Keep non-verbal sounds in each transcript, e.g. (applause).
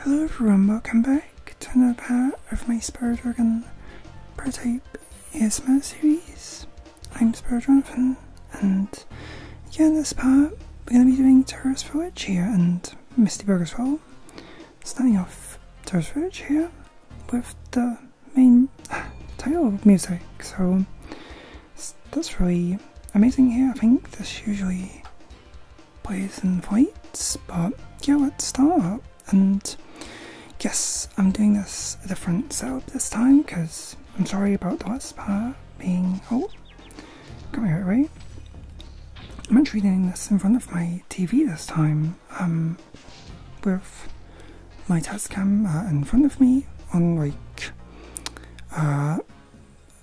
Hello everyone, welcome back to another part of my Spyro Dragon prototype ASMR series. I'm Spyro Dragon, and again, in this part we're going to be doing Terrorist Village here and Misty Burg as Starting off Terrorist Village here with the main (laughs) title music, so that's really amazing here. I think that's usually Plays and fights, but yeah, let's start. And yes, I'm doing this a different setup this time because I'm sorry about the last being. Oh, come here, right. I'm actually doing this in front of my TV this time, um, with my test cam in front of me on like uh,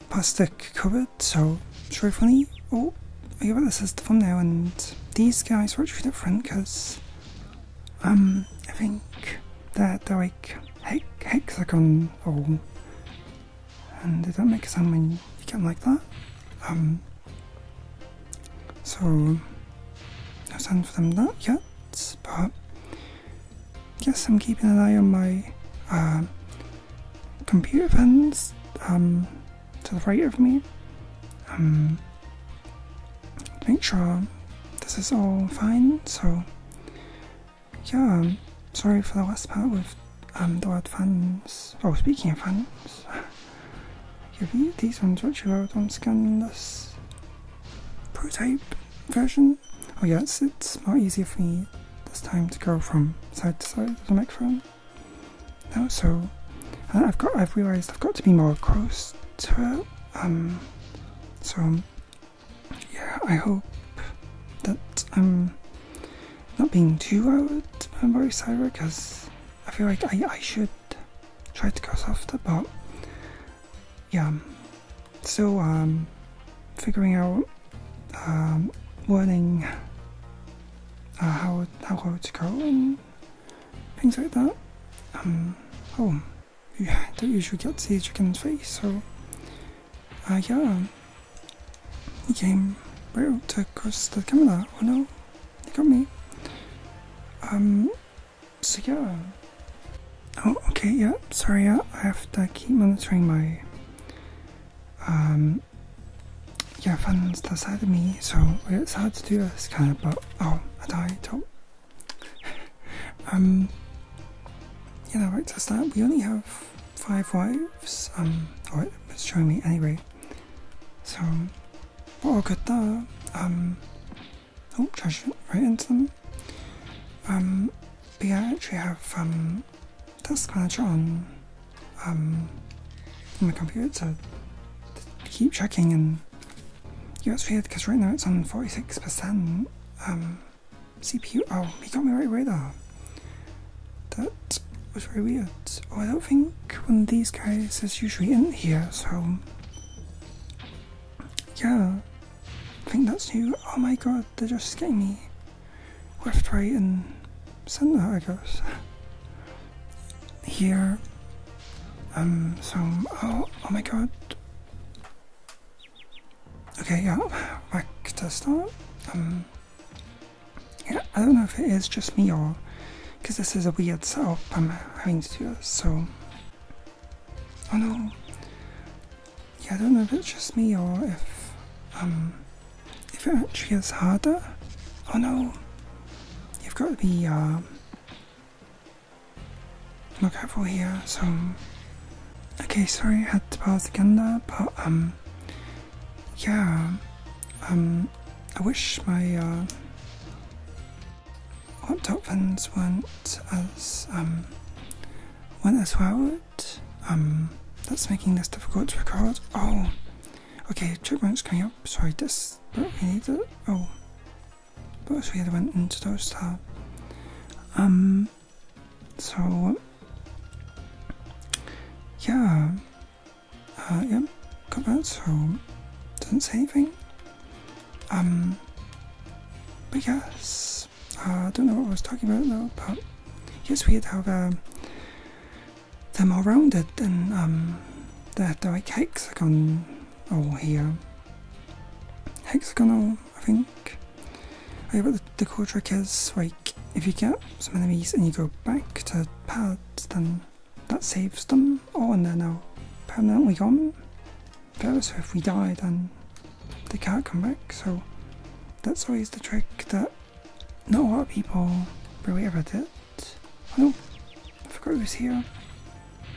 past the cupboard, so truthfully, oh, yeah, but this is the thumbnail, and these guys were actually different because, um, I think that they're, they're like he hexagon or and they don't make a sound when you get them like that. Um, so no sound for them not yet, but yes, I'm keeping an eye on my uh, computer fans um, to the right of me. Um, make sure this is all fine. So, yeah, um, sorry for the last part with um, the word fans. Oh, speaking of fans, (laughs) these ones which you don't scan this prototype version. Oh, yes, it's more easier for me this time to go from side to side of the microphone. No, so uh, I've got I've realised I've got to be more close to Um, so yeah, I hope that I'm not being too I'm very Cyber because I feel like I, I should try to go softer, but yeah, So um, figuring out um, How uh, how how to go and things like that. Um, oh, yeah, I do usually get to see a chicken's face, so uh, yeah, he came right across the camera. Oh no, he got me. Um, so yeah. Oh, okay, yeah, sorry, yeah, I have to keep monitoring my um, yeah, fans the side of me, so it's hard to do this kind of, but oh, I died. Oh. um, Yeah, know, right That we only have five wives, um, or it's showing me anyway. So, we're all good there. Um, oh, trash write into them. Um, but I actually have, um, that's gonna on um, my computer to keep checking and yeah it's weird because right now it's on 46% um, CPU. Oh, he got me right away though. That was very weird. Oh, I don't think one of these guys is usually in here, so yeah, I think that's new. Oh my god, they're just getting me left, right, and center, I guess. Here, um, so, oh, oh my god. Okay, yeah, back to start. Um, yeah, I don't know if it is just me or, because this is a weird setup I'm having to do, so. Oh no, yeah, I don't know if it's just me or if um if it actually is harder. Oh no, you've got to be um more careful here. So okay, sorry I had to pause again there, but um yeah um I wish my uh, laptop fins weren't as um weren't as well um, that's making this difficult to record. Oh, okay, checkpoint's coming up. Sorry, this, but we need it. Oh, but so yeah, they went into those tab. Um, so yeah, uh, yeah, got that. So doesn't say anything. Um, but yes, uh, I don't know what I was talking about though, but yes, we how they're, they rounded and they um, the, the like hexagon hole here. Hexagonal, I think. Okay, but the, the cool trick is like if you get some enemies and you go back to pads, then that saves them. Oh, and they're now permanently gone. so if we die, then they can't come back. So that's always the trick that not a lot of people really ever did. Oh no, I forgot he was here.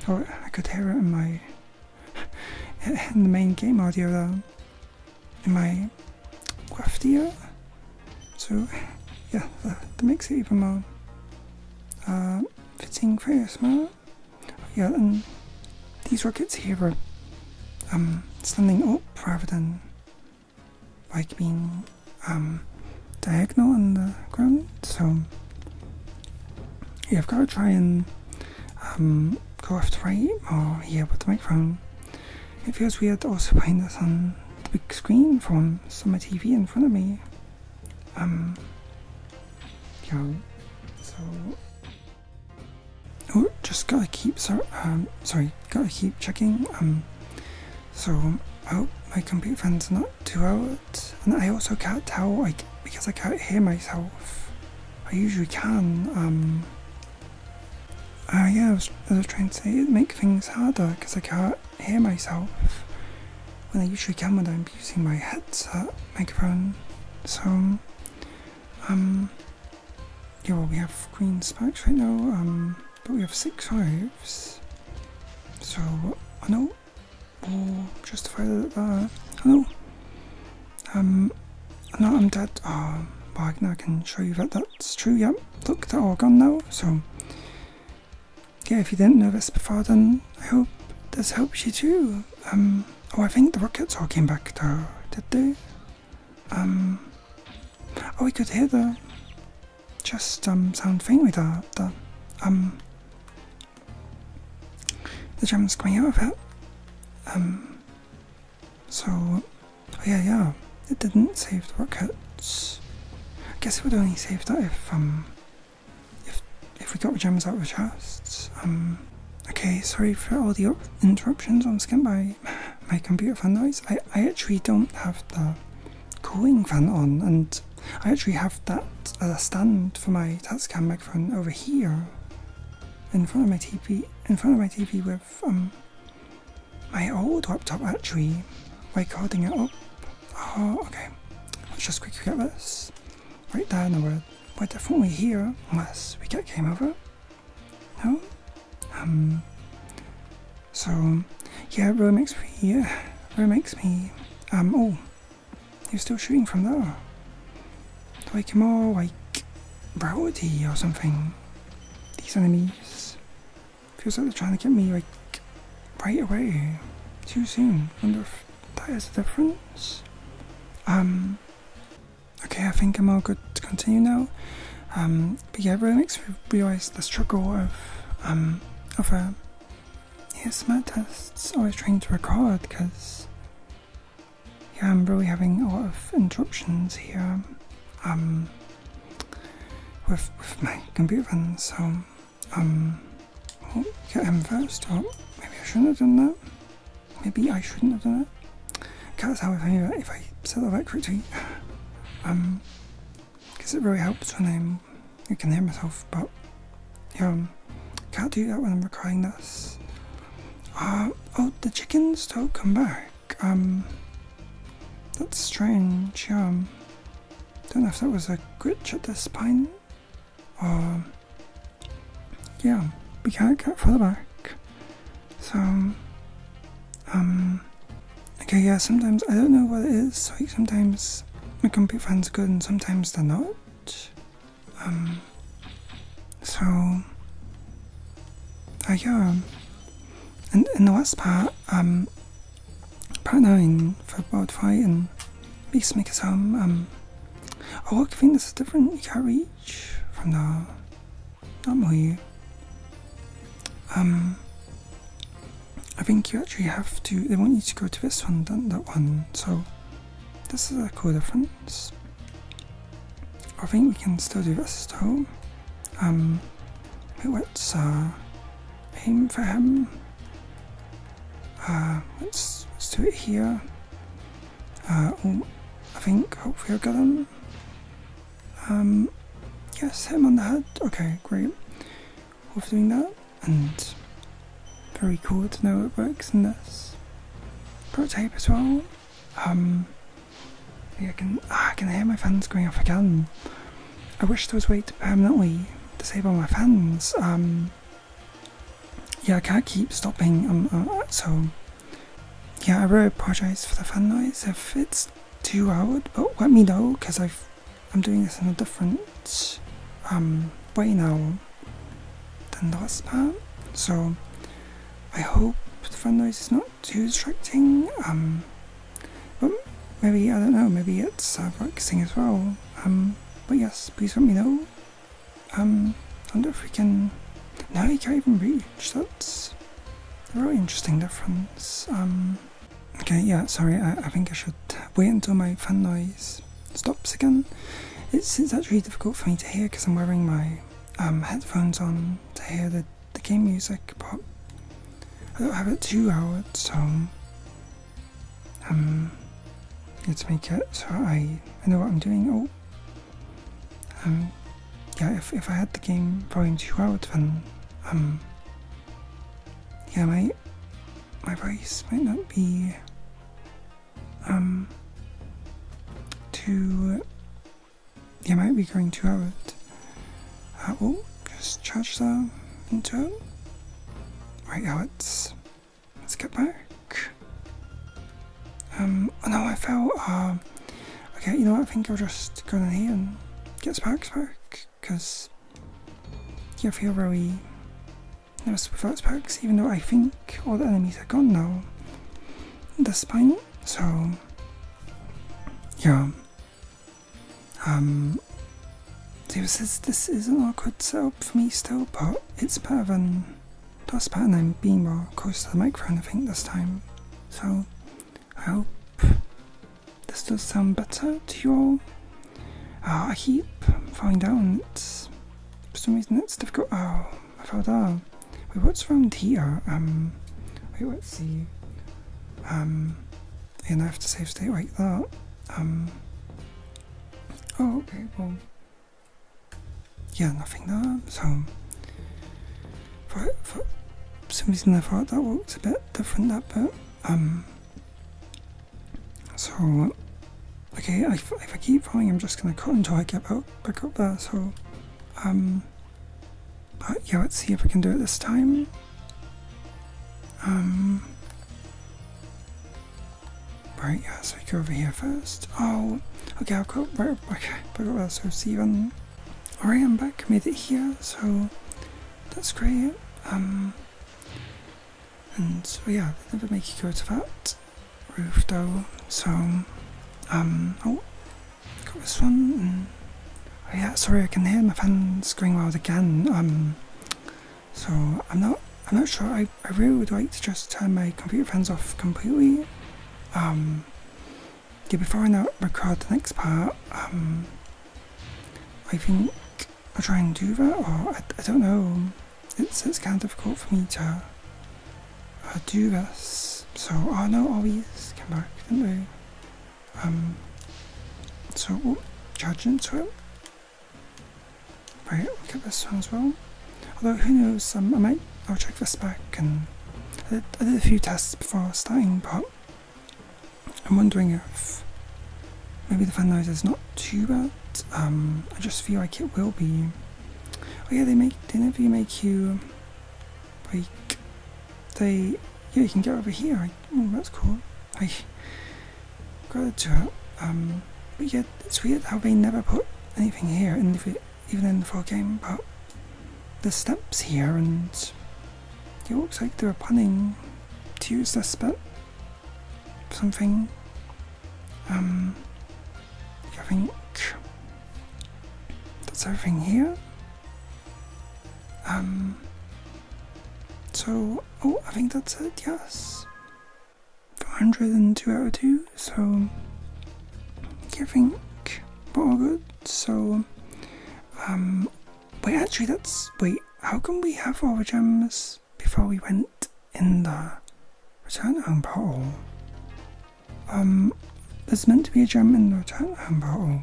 Or oh, I could hear it in my (laughs) in the main game audio In my craftier. So yeah, that, that makes it even more fitting for ASMR. Yeah, these rockets here are um, standing up rather than like being um, diagonal on the ground. So yeah, I've got to try and um, go left right or here with the microphone. It feels weird also playing this on the big screen from some TV in front of me. Um, yeah, so Oh, just gotta keep um, sorry, gotta keep checking. Um, so oh my computer fan's not too out, and I also can't tell like because I can't hear myself. I usually can. Um. Uh, yeah, I was, trying to make things harder because I can't hear myself when I usually can when I'm using my headset microphone. So, um, yeah, well, we have queen spikes right now, um, but we have six hives. So, I know we'll justify that. Uh, I know. Um, I I'm dead. but ah, well, I can show you that that's true. Yep, yeah, look, they're all gone now. So, yeah, if you didn't know this before, then I hope this helps you too. Um, oh, I think the rockets all came back though, did they? Um, oh, we could hear the just um, sound thing with the, the um the drums coming out of it. Um, so oh, yeah, yeah, it didn't save the rockets. I guess we would only save that if um if if we got the gems out of the chests. Um, okay, sorry for all the interruptions on Skin by my computer fan noise. I, I actually don't have the cooling fan on and I actually have that stand for my Tascam microphone over here in front of my TV in front of my TV with um my old laptop actually recording it up. Oh okay. Let's just quickly get this. Right there and we're, we're definitely here unless we get game over. No? Um. So, yeah, it really makes me. really makes me. Um, oh. You're still shooting from there. Like more like. Browity or something. These enemies. Feels like they're trying to get me, like. right away. Too soon. Wonder if that is the difference. Um. Okay, I think I'm all good to continue now. Um, but yeah, it really makes me realise the struggle of um, of a uh, yeah, smart tests always trying to record because yeah, I'm really having a lot of interruptions here um, with with my computer. so um, oh, get him first. Oh, maybe I shouldn't have done that. Maybe I shouldn't have done it. Cats, however, if I set the electric tweet, um, guess it really helps when I'm, I can hear myself, but yeah, um, can't do that when I'm recording this. Uh, oh, the chickens don't come back. Um, that's strange. Um, don't know if that was a glitch at this point, or yeah, we can't go further back. So, um, okay, yeah, sometimes I don't know what it is. Like, sometimes my computer fans are good and sometimes they're not. Um, so, uh, yeah. And in the last part, um, part 9 for Board Fight and Peacemaker's Home, um, um, oh look, I think this different, you can't read von da not Moyu. Um I think you actually have to they want you to go to this one than that one, so this is a cool difference. I think we can still do this though. Um let's uh, aim for him. Uh let's let's do it here. Uh, oh, I think hopefully I got them. Um, yes, him on the head. Okay, great. Worth doing that, and very cool to know it works in this tape as well. Um, I can ah, I can hear my fans going off again. I wish there was a way to permanently disable my fans. Um, yeah, I can't keep stopping. Um, uh, so yeah, I really apologize for the fan noise if it's too loud, but let me know because i am doing this in a different um, way now than the last part. So I hope the fan noise is not too distracting. Um, but maybe I don't know. Maybe it's uh, relaxing as well. Um, but yes, please let me know um, I wonder if we can. Now he can't even reach. That's a really interesting difference. Um, okay, yeah, sorry. I, think I should wait until my fan noise stops again. It's it's actually difficult for me to hear because I'm wearing my um, headphones on to hear the the game music, but I don't have it too loud, so um, let's make it so I I know what I'm doing. Oh, um, yeah, if, if I had the game volume 2 out, then, um, yeah, my, my voice might not be, um, To yeah, might be going too out. Uh, oh, just charge that into it. Right, now let's, let's get back. Um, oh no, I fell. Uh, okay, you know what? I think I'll just go in here and get Sparks back, because yeah, I feel really nervous without Sparks, even though I think all the enemies are gone now. This point, so yeah. Um, This is this is an awkward setup for me still, but it's better than Plus pattern I'm being more close to the microphone I think this time. So I hope this does sound better to you all. Oh, I keep falling down. It's for some reason it's difficult. Oh, I fell down. Ah, wait, what's around here? Um, wait, let's see. Um, and I have to save state like that. Um, oh, okay, yeah, nothing there. So, for, some reason, I thought that works a bit different. That but Um. So, okay, if, I keep falling, I'm just gonna cut until I get back up there. So, um. yeah, let's see if we can do it this time. Um. Right, yeah, so you go over here first. Oh, okay, I'll go, right, okay, but uh, so Steven, alright, I'm back, made it here, so that's great. Um, and so yeah, they never make you go to that roof though, so, um, oh, got this one, mm. oh yeah, sorry, I can hear my fans screaming wild again, um, so I'm not, I'm not sure, I I really would like to just turn my computer fans off completely. Um, yeah, before I now record the next part, um, I think I'll try and do that, or I, don't know. It's it's kind of difficult for me to uh, do this. So, I know oh no, always oh, came back, didn't they? Um, so, we'll oh, charge into it. Right, look at this one as well. Although who knows, um, I might I'll check this back and I did, a few tests before starting, but I'm wondering if maybe the fan noise is not too bad. Um, I just feel like it will be. Oh yeah, they make they never make you like they yeah you can get over here. oh, that's cool. I got to it. Um, but yeah, it's weird how they never put anything here, and if it even in the full game, but the steps here, and it looks like they were planning to use this bit. Something. Um, I think that's everything here. Um, so, oh, I think that's it, yes. 402 out of 2, so I think we all good. So, um, wait, actually, that's. Wait, how can we have all the gems before we went in the return home portal? Um, there's meant to be a gem in the return home portal.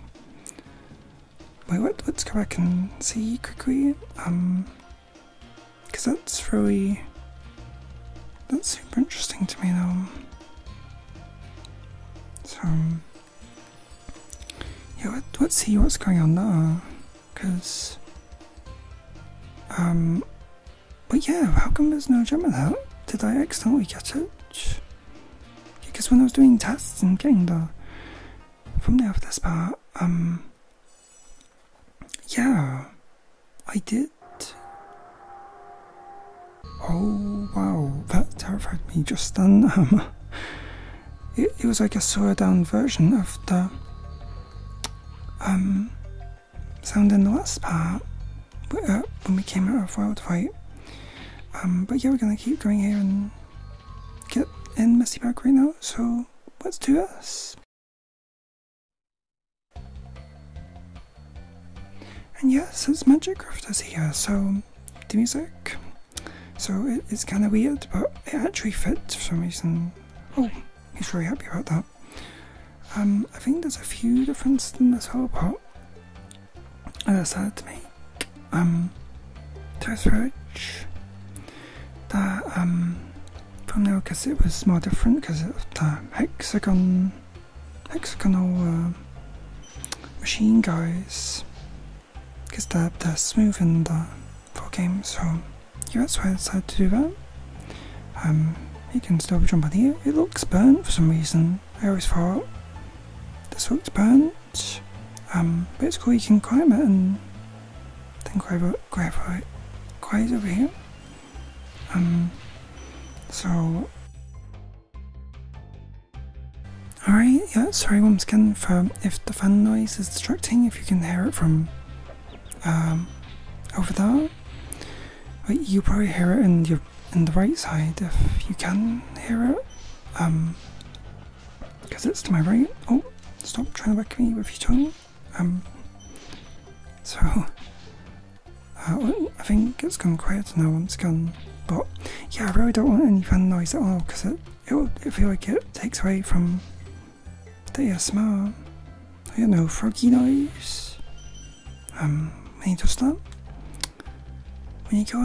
Wait, what, let's go back and see quickly. Um, because that's really. That's super interesting to me though. So. Um, yeah, let, us see what's going on there. Because. Um. But yeah, how come there's no gem in Did I accidentally get it? Because when I was doing tests and getting the from the this part, um. Yeah. I did? Oh wow, that terrified me just then. (laughs) Um, it, was like a slowed down version of the um, sound in the last part uh, when we came out of Wild Fight. Um, but yeah, we're gonna keep going here and get in Misty Park right now, so what's to us and yes, it's Magicraft is here, so the music. So it's kind of weird, but it actually fits for some reason. Oh, he's very happy about that. Um, I think there's a few differences in this whole pot. I decided to make um, toast roach that um, from there because it was more different because of the um, hexagon hexagonal um, machine guys because they're, they're smooth in the four games, so yeah that's why I decided to do that um, you can still jump on here it looks burnt for some reason I always thought this looks burnt um, but it's cool you can climb it and then think over graphite quite over here. Um, so. Alright, yeah, sorry once again for if the fan noise is distracting, if you can hear it from um, over there. But you probably hear it in your in the right side if you can hear it. Um because it's to my right. Oh, stop trying to whack me with your tongue. Um, so uh, I think it's gone quiet now once gone, but yeah, I really don't want any fan noise at all because it it will I like it takes away from the atmosphere. I don't know, froggy noise. Um, when you to stop. when you go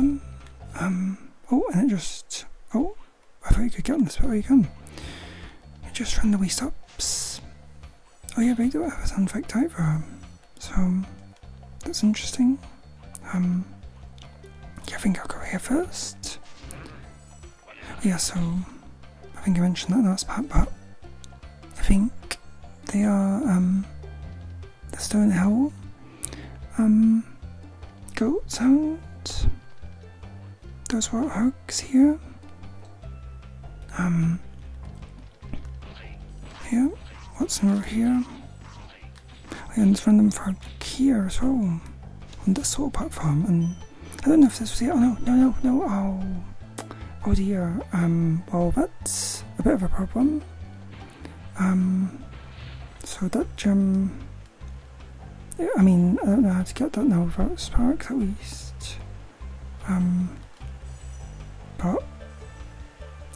um, oh, and it just oh, I thought you could get on this, but where you going? It just randomly stops. Oh yeah, they do have a fanfic over, um, so um, that's interesting. Um, yeah, I think I'll go here first. Yeah, so I think I mentioned that last part, but I think they are um, the Stone Owl, um, Goat Sound, those were works here. Um, yeah, what's over here? And it's random for here as well, on this whole platform. And I don't know if this was here. Oh no, no, no, no. Oh, oh dear. Um, well, that's a bit of a problem. Um, so that gym. I mean, I don't know how to get that now without sparks, at least. Um, but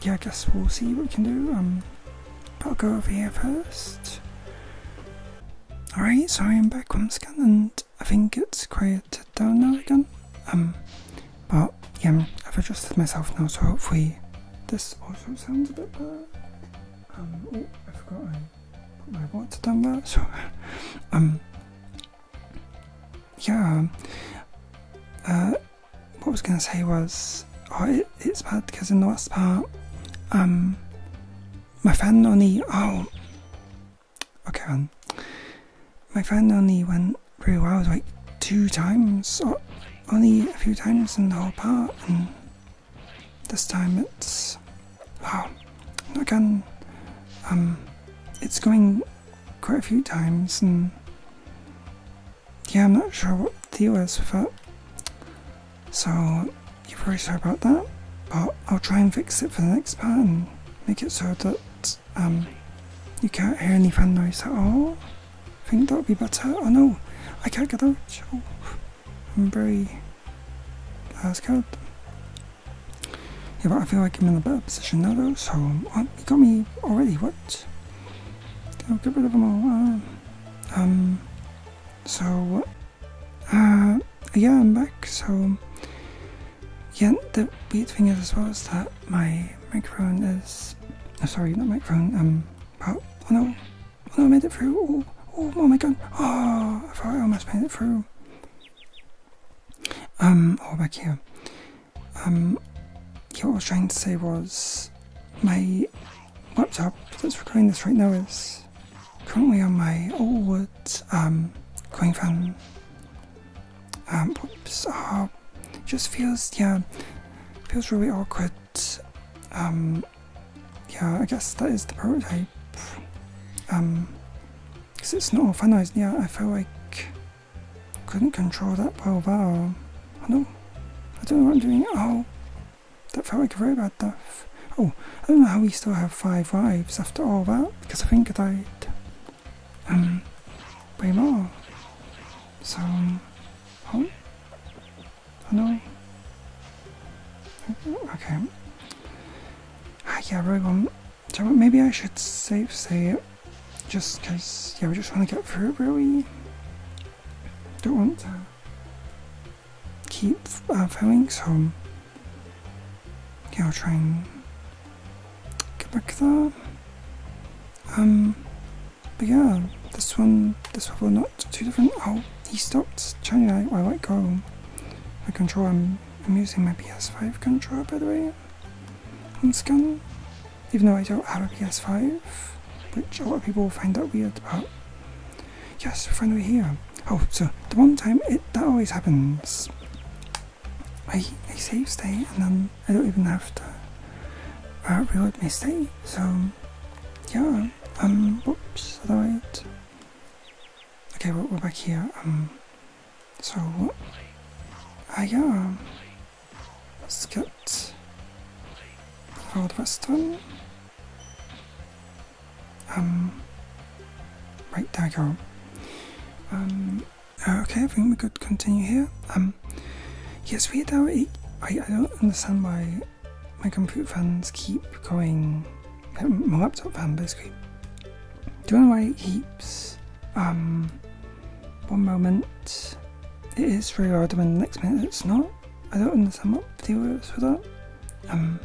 yeah, I guess we'll see what we can do. but um, I'll go over here first. Alright, sorry I am back once again, and I think it's quieted down now again. Um, but yeah, I've adjusted myself now, so hopefully this also sounds a bit better. Um, oh, I forgot I put my water down there, so (laughs) um, yeah, um, uh, what I was going to say was, oh, it's bad because in the last part, um, my fan only, oh, okay, um, my fan only went really well, like two times, or only a few times in the whole part, and this time it's Wow, again, um, it's going quite a few times, and yeah, I'm not sure what the deal is So, you're very sorry about that, but I'll try and fix it for the next part and make it so that um, you can't hear any fan noise at all. I think that would be better. Oh no, I can't get out. Oh, I'm very uh, scared. Yeah, but I feel like I'm in a better position now though, so uh, you got me already, what? get rid of them all. Uh, um, so, uh, yeah, I'm back, so, yeah, the weird thing is as well is that my microphone is, oh, sorry, not microphone, um, oh, no, oh no, I made it through, oh, oh, oh my god, oh, I thought I almost made it through. Um, or oh, back here. Um, yeah, what I was trying to say was my laptop that's recording this right now is currently on my old um, coin fan. Um, whoops, oh, ah, it just feels, yeah, feels really awkward. Um, yeah, I guess that is the prototype. Um, because it's not finalized yet, I felt like couldn't control that well wow! Uh, I do know. I don't know what I'm doing. Oh, that felt like a very bad death. Oh, I don't know how we still have five wives after all that, because I think I died um, way more. So, um, oh, I know. Okay. Ah, yeah, I really want maybe I should save say it, just case. yeah, we just want to get through it really. Don't want to keep uh, filming, so yeah, I'll try and get back there. Um, but yeah, this one, this one will not too different. Oh, he stopped turning. I, I go. I can control him. I'm using my PS5 controller by the way on scan, even though I don't have a PS5, which a lot of people find that weird, but yes, we're finally here. Oh, so the one time it that always happens. I, I save state and then I don't even have to uh, reload my stay. so yeah, um, whoops, otherwise. Okay, we're back here, um, so I am ah, let's get Old Western. Um right there we go. Um uh, okay, I think we could continue here. Um yes we now I, I don't understand why my computer fans keep going um, my laptop fan basically. Doing away heaps. Um, one moment it is very hard, and the next minute it's not. I don't understand what the deal is with that. Um,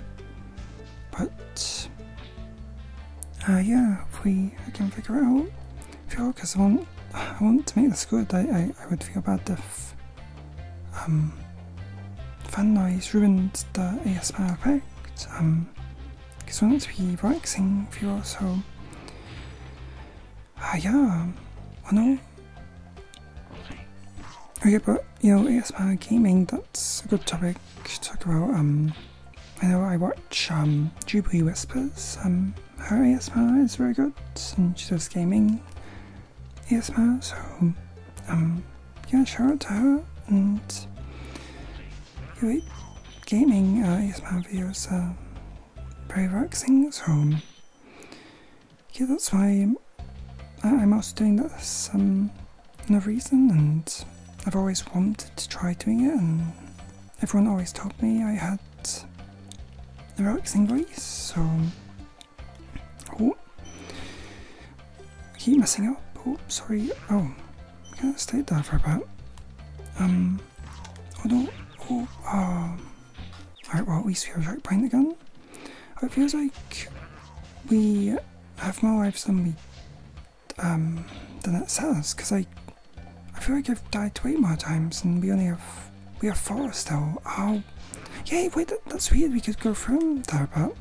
but uh, yeah, hopefully I can figure out. If you're because I want I want to make this good. I, I, I would feel bad if um fan noise ruined the ASMR effect because um, I want to be relaxing, waxing you also. uh, ah, yeah um, I know okay oh, but you know ASMR uh, gaming that's a good topic to talk about um I know I watch um Jubilee Whispers um her ASMR is very good and she does gaming ASMR so um yeah, shout out to her and Elite Gaming uh, ASMR videos are um, very relaxing, so yeah, that's why I, I'm also doing this um, no reason, and I've always wanted to try doing it, and everyone always told me I had a relaxing voice, so. Oh. I keep messing up. Oh, sorry. Oh, I can't stay there for about Um, oh no. Oh, um. Alright, well, at least we have right behind the gun. It feels like we have more lives than we um than it says, because I I feel like I've died way more times and we only have we have four still. Oh yeah, wait that's weird, we could go from there but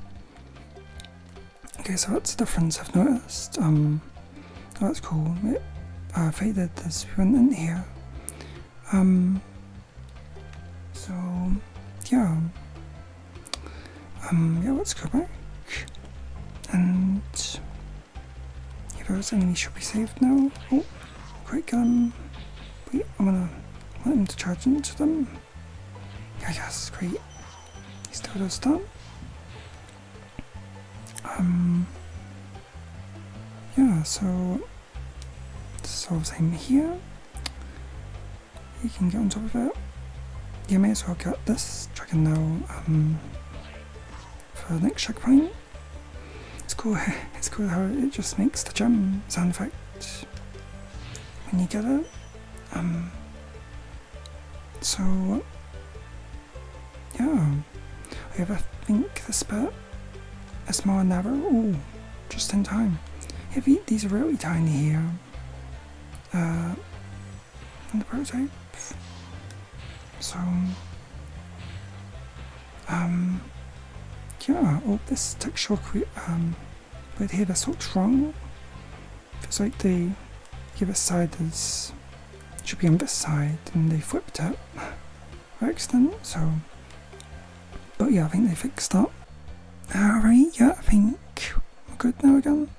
Okay, so that's the difference I've noticed. Um, oh, that's cool. I've if this, one in here. Um, so, yeah. Um, yeah, let's go back. And yeah, those enemies should be saved now. Oh, quick, wait, I'm gonna want him to charge into them. Yeah, it's great. still やいやすごいスタートした um yeah so so same here you can get on top of it you may as well get this dragon now um for the next checkpoint it's cool (laughs) it's cool how it just makes the gem sound effect when you get it um, so, yeah, I a think This spit is small narrow. Ooh, just in time. Yeah, these are really tiny here. Uh, in the prototype. So, um, yeah, oh, this textual, um, but here that's what's It feels like the other side is should be on this side and they flipped it by accident, so but yeah I think they fixed up. Alright, yeah, I think we're good now again.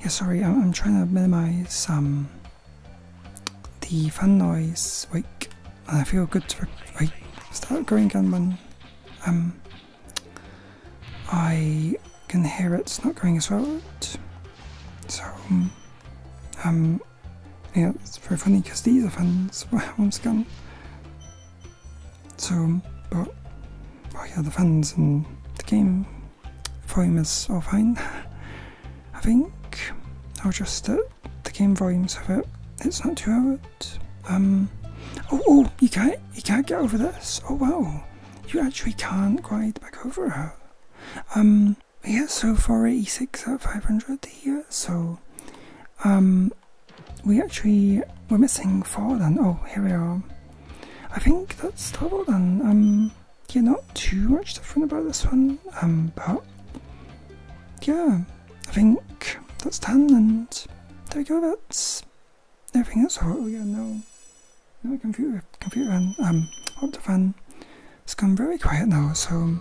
Yeah, sorry, I'm, trying to minimize um, the fan noise, like, I feel good to start going again when um, I can hear it's not going as well. So, um, um yeah, it's very funny because these are fans (laughs) once again. So, um, but, well, oh yeah, the fans in the game volume is all fine. (laughs) I think I'll just uh, the game volume so that it's not too um, oh, oh, you can't, you can't get over this. Oh wow, you actually can't ride back over her. Um, yeah, so 486 out of 500 here. So, um, we actually we're missing four then. Oh, here we are. I think that's double then. Um, yeah, not too much different about this one. Um, but yeah, I think that's done, and there we go. That's everything is hot. Oh, yeah got no, no computer, computer fan, um, Optifan. It's gone very quiet now, so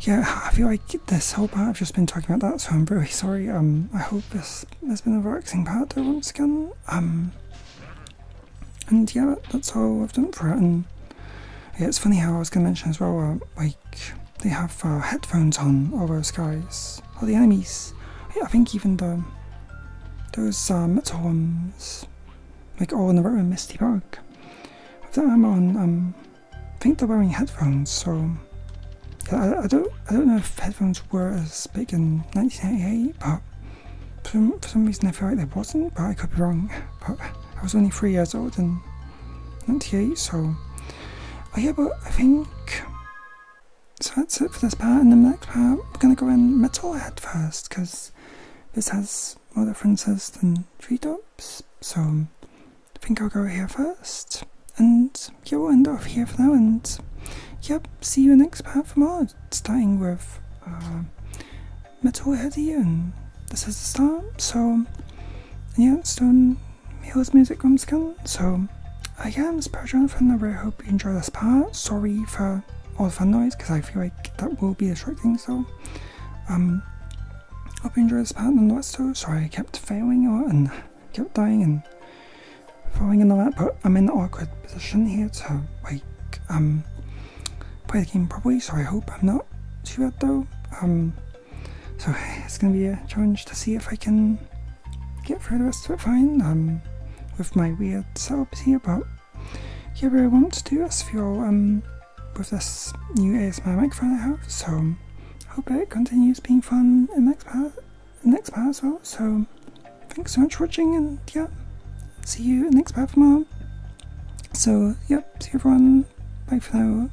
yeah, I feel like this whole part I've just been talking about that, so I'm really sorry. Um, I hope this has been a relaxing part though, once again. Um, and yeah, that's all I've done for it. And yeah, it's funny how I was gonna mention as well, uh, like they have uh, headphones on all those guys. All the enemies. I think even the those uh, like oh, all in the room, Misty Park. With that on, um, I think they're wearing headphones, so I, don't I don't know if headphones were as big in 1988, but for some, reason I feel like they wasn't, but I could be wrong. (laughs) But I was only three years old in 98, so. Oh yeah, but I think so that's it for this part, and the next part we're going to go in Metalhead first, because this has more differences than Tree Tops, so I think I'll go here first. And yeah, we'll end off here for now, and yep, see you in the next part for more, starting with uh, Metalhead and this is the start, so yeah, it's done. Mila's music room skill. So, uh, yeah, I'm Spurgeon from the Rare. Hope you enjoy this part. Sorry for all the noise because I feel like that will be distracting. So, um, hope you enjoy this part. I'm not so I kept failing and kept dying and falling in the lap, but I'm in the awkward position here to like um play the game properly. So I hope I'm not too bad though. Um, so it's going to be a challenge to see if I can get through the of it fine um, with my weird setups here, but yeah, really want to do this for um, with this new ASMR microphone I have, so I hope it continues being fun in the next part, next part as well, so thanks so much for watching, and yeah, see you in next part for more. So, yep, see everyone, bye for now.